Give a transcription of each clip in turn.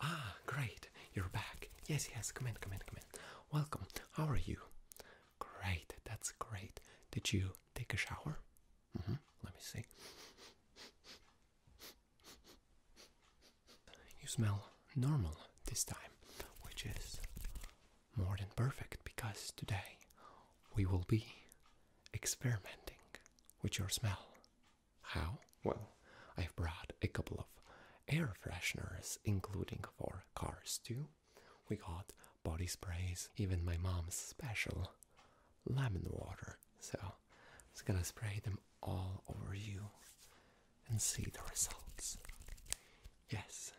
Ah, great. You're back. Yes, yes. Come in, come in, come in. Welcome. How are you? Great. That's great. Did you take a shower? Mm-hmm. Let me see. You smell normal this time, which is more than perfect because today we will be experimenting with your smell. How? Well, I've brought a couple of air fresheners, including for cars too. We got body sprays, even my mom's special lemon water. So it's gonna spray them all over you and see the results. Yes,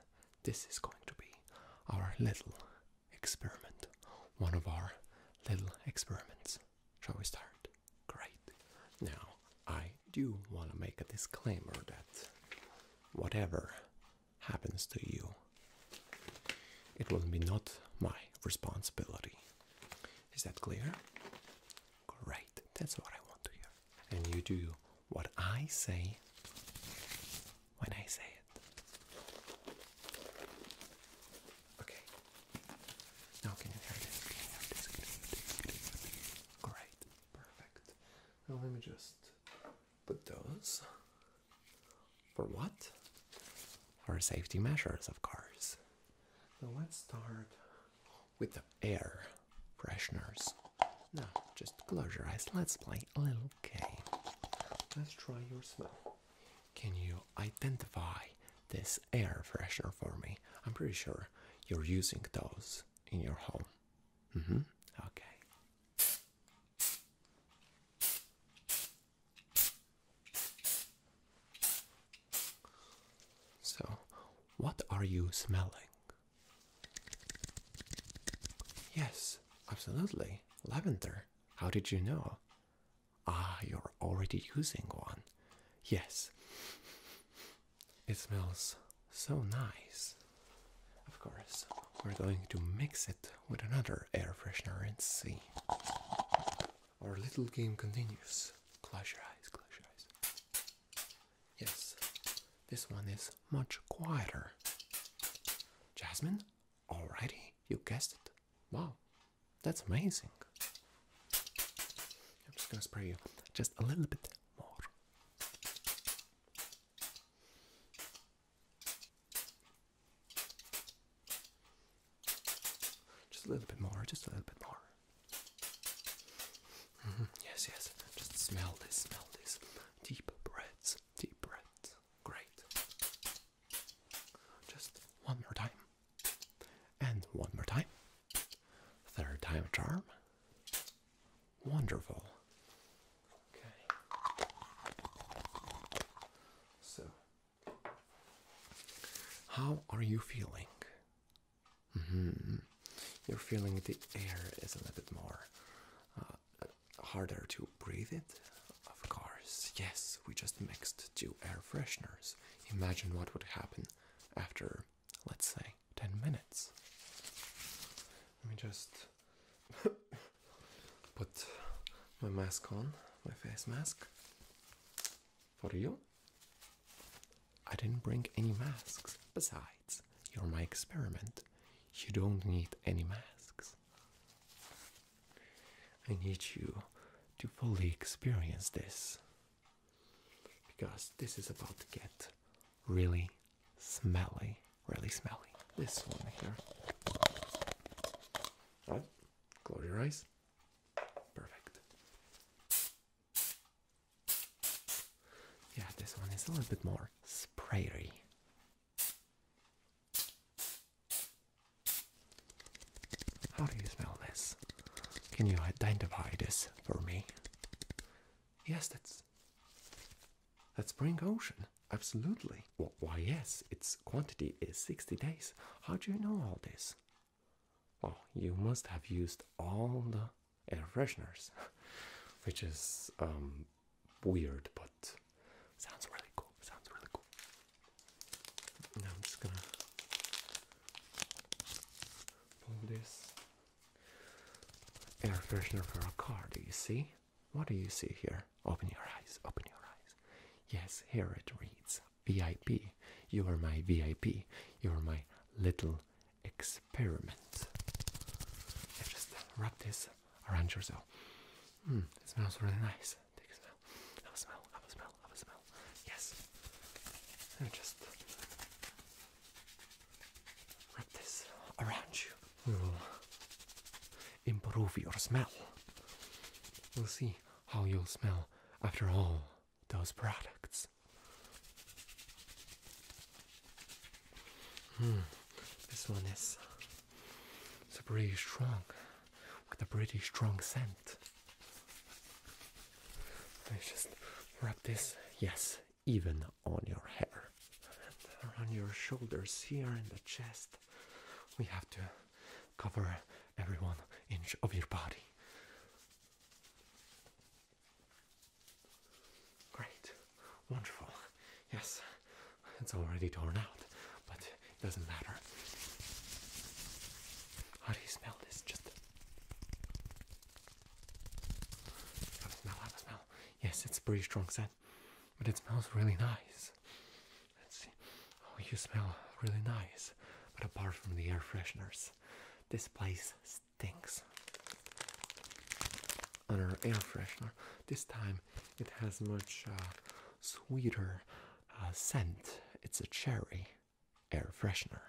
this is going to be our little experiment, one of our little experiments. Shall we start? Great. Now, I do want to make a disclaimer that whatever happens to you, it will be not my responsibility. Is that clear? Great. That's what I want to hear. And you do what I say when I say Okay. Now Great. Perfect. Now let me just put those. For what? For safety measures, of course. Now let's start with the air fresheners. Now, just close your eyes. Let's play a little game. Let's try your smell. Can you identify this air freshener for me? I'm pretty sure you're using those in your home. Mm-hmm. Okay. So, what are you smelling? Yes, absolutely. Lavender. How did you know? Ah, you're already using one. Yes. It smells so nice. Of course, we're going to mix it with another air freshener and see. Our little game continues. Close your eyes, close your eyes. Yes, this one is much quieter. Jasmine, Already? You guessed it? Wow, that's amazing. I'm just gonna spray you just a little bit more. Just a little bit more, just a little bit more. Mm -hmm. Yes, yes, just smell this, smell this. Deep breaths, deep breaths. Great. Just one more time. And one more time. Third time charm. Wonderful. Okay. So, how are you feeling? Mm-hmm. You're feeling the air is a little bit more uh, harder to breathe it? Of course, yes, we just mixed two air fresheners. Imagine what would happen after, let's say, 10 minutes. Let me just put my mask on, my face mask. For you? I didn't bring any masks. Besides, you're my experiment. You don't need any masks. I need you to fully experience this because this is about to get really smelly, really smelly. This one here. Right? Close your eyes. Perfect. Yeah, this one is a little bit more sprayery. How do you smell this? Can you identify this for me? Yes, that's that's spring ocean. Absolutely. why, yes, its quantity is 60 days. How do you know all this? Well, you must have used all the air fresheners, which is um, weird, but sounds really cool. Sounds really cool. Now I'm just gonna pull this air freshener for a car. Do you see? What do you see here? Open your eyes. Open your eyes. Yes, here it reads VIP. You are my VIP. You are my little. Ex Pyramids. just wrap this around yourself. Hmm, it smells really nice. Take smell. Have smell. Have smell. Have smell. Yes. And just wrap this around you. We will improve your smell. We'll see how you'll smell after all those products. Mm, this one is uh, it's pretty strong with a pretty strong scent. Let's just rub this, yes, even on your hair and around your shoulders here and the chest. We have to cover every one inch of your body. Great, wonderful. Yes, it's already torn out, but it doesn't matter. How do you smell this? Just smell, have smell. Yes, it's a pretty strong scent, but it smells really nice. Let's see. Oh, you smell really nice, but apart from the air fresheners, this place stinks on our air freshener. This time it has much uh, sweeter uh, scent. It's a cherry air freshener.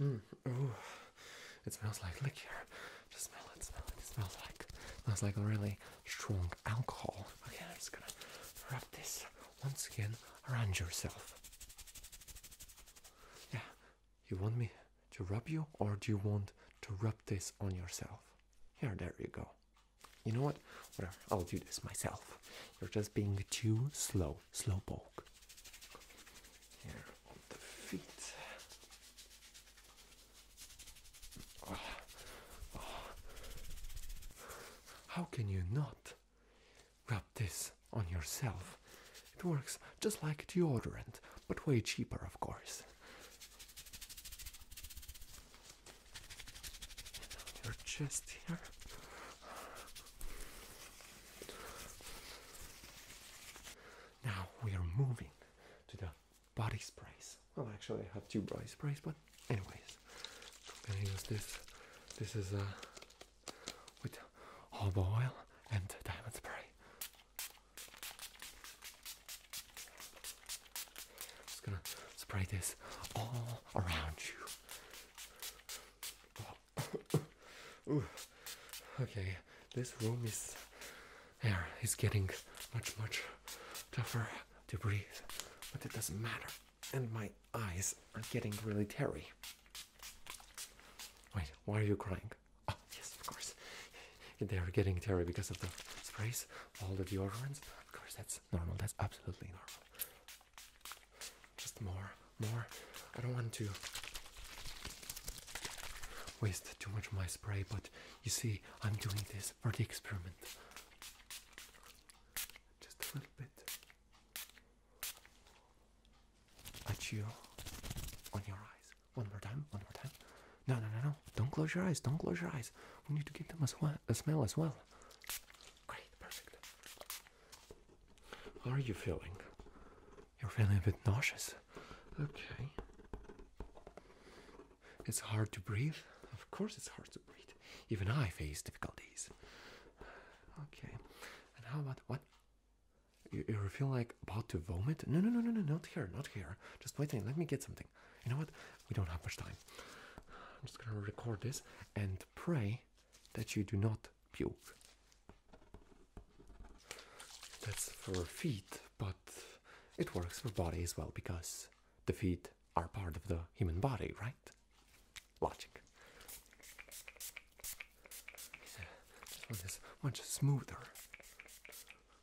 Mm, ooh, it smells like liquor. Just smell it, smell it. It smells like smells like really strong alcohol. Okay, I'm just gonna wrap this once again around yourself. Yeah, you want me to rub you, or do you want to rub this on yourself? Here, there you go. You know what? Whatever, I'll do this myself. You're just being too slow. slowpoke. Here the feet. Oh. Oh. How can you not? Rub this on yourself. It works just like deodorant, but way cheaper, of course. your chest here. Now we are moving to the body sprays. Well, actually, I have two body sprays, but anyways, i use this. This is a with olive oil and diamond spray. I'm just gonna spray this all around you. Okay, this room is air is getting much much tougher to breathe, but it doesn't matter and my eyes are getting really teary. Wait, why are you crying? Oh, yes, of course. They are getting teary because of the sprays, all the deodorants. Of course, that's normal. That's absolutely normal. Just more, more. I don't want to waste too much of my spray, but you see, I'm doing this for the experiment. Just a little bit. At chew on your eyes. One more time, one more time. No, no, no, no. Don't close your eyes. Don't close your eyes. We need to give them a, smell as well. Great, perfect. are you feeling? You're feeling a bit nauseous. Okay. It's hard to breathe. Of course, it's hard to breathe. Even I face difficulties. Okay. And how about what? You, you feel like about to vomit? No, no, no, no, no, not here, not here. Just wait a minute, let me get something. You know what? We don't have much time. I'm just gonna record this and pray that you do not puke. That's for feet, but it works for body as well because the feet are part of the human body, right? Logic. He said, this one is much smoother.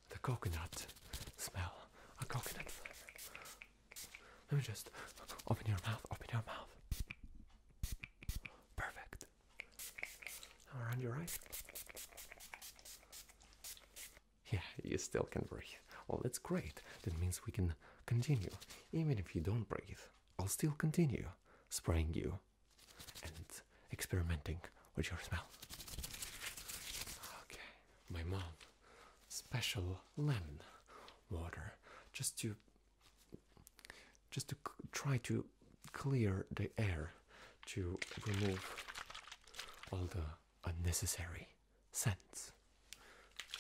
The coconut smell, a coconut flavor. Let me just open your mouth, open your mouth. Perfect. around your eyes. Yeah, you still can breathe. Well, that's great. That means we can continue even if you don't breathe, I'll still continue spraying you and experimenting with your smell. Okay, my mom, special lemon water just to just to try to clear the air to remove all the unnecessary cents.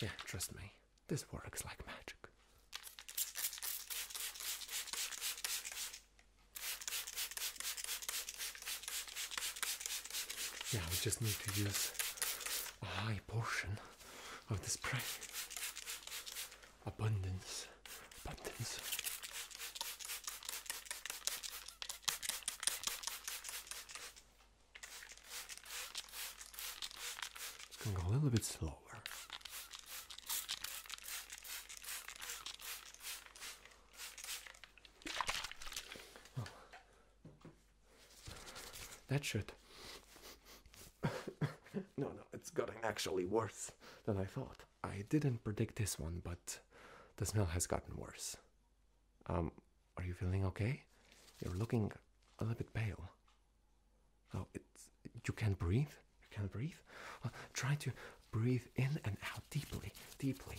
Yeah, trust me, this works like magic. Yeah, we just need to use a high portion of this prey. Abundance, abundance. It's going to go a little bit slower. That should. no, no, it's gotten actually worse than I thought. I didn't predict this one, but the smell has gotten worse. Um, are you feeling okay? You're looking a little bit pale. Oh, it's you can't breathe. You can't breathe. try to breathe in and out deeply, deeply.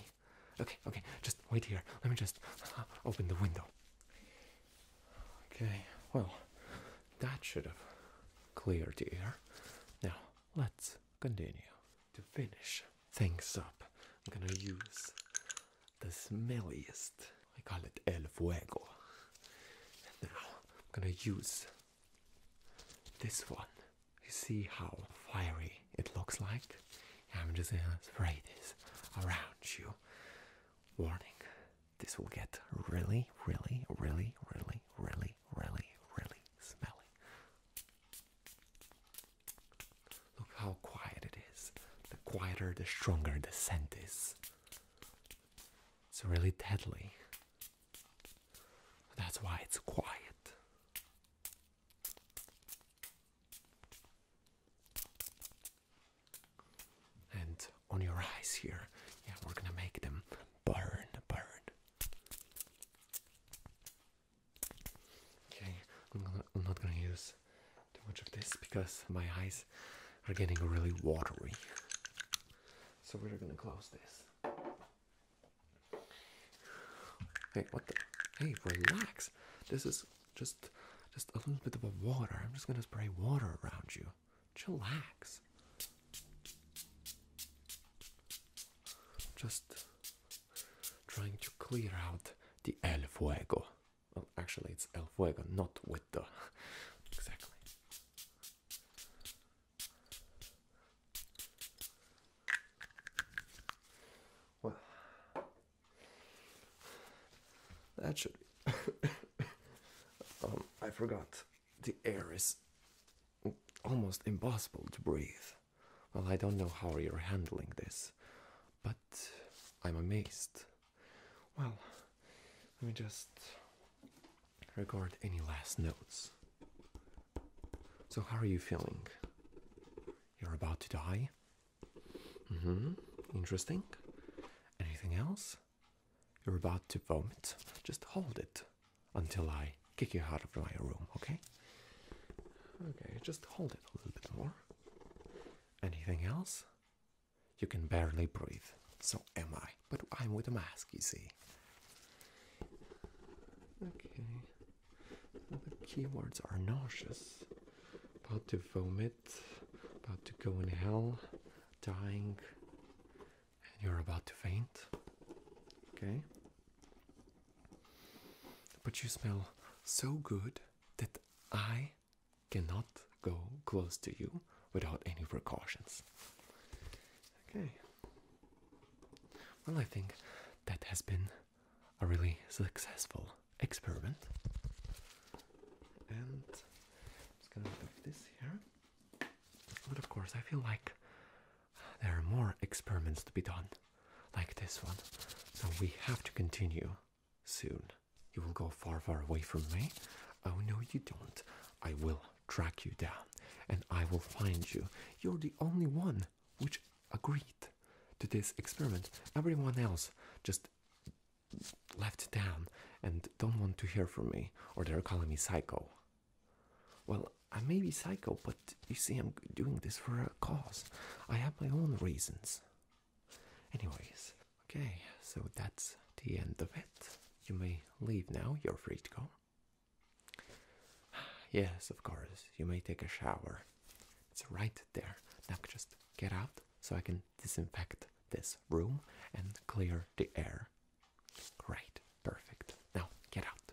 Okay, okay. Just wait here. Let me just uh, open the window. Okay. Well, that should have cleared the air. Now let's continue to finish things up. I'm gonna use the smelliest. I call it El Fuego. And now I'm gonna use this one. You see how fiery it looks like? I'm just gonna spray this around you. Warning, this will get really, really, really, really, really, really, really smelly. Look how quiet it is. The quieter, the stronger the scent is. It's really deadly. That's why it's quiet. And on your eyes here, yeah, we're gonna make them burn, burn. Okay, I'm, I'm not gonna use too much of this because my eyes are getting really watery. So we're gonna close this. Hey, what the? Hey, relax. This is just just a little bit of water. I'm just gonna spray water around you. Chillax. Just trying to clear out the El Fuego. Well, actually, it's El Fuego, not with the exactly. Well, that should um, I forgot the air is almost impossible to breathe. Well, I don't know how you're handling this, but I'm amazed. Well, let me just record any last notes. So, how are you feeling? You're about to die? Mm hmm. Interesting. Anything else? You're about to vomit? Just hold it until I kick you out of my room, okay? Okay, just hold it a little bit more. Anything else? You can barely breathe. So am I. But I'm with a mask, you see. Okay. Well, the keywords are nauseous, about to vomit, about to go in hell, dying, and you're about to faint. Okay. But you smell so good that I cannot go close to you without any precautions. Okay. Well, I think that has been a really successful experiment. And just gonna move this here. But of course, I feel like there are more experiments to be done, like this one. So we have to continue soon. You will go far, far away from me. Oh, no, you don't. I will track you down and I will find you. You're the only one which agreed to this experiment. Everyone else just left town and don't want to hear from me or they're calling me psycho. Well, I may be psycho, but you see, I'm doing this for a cause. I have my own reasons. Anyways, okay, so that's the end of it. You may leave now, you're free to go. Yes, of course, you may take a shower. It's right there. Now just get out so I can disinfect this room and clear the air. Great, perfect. Now get out.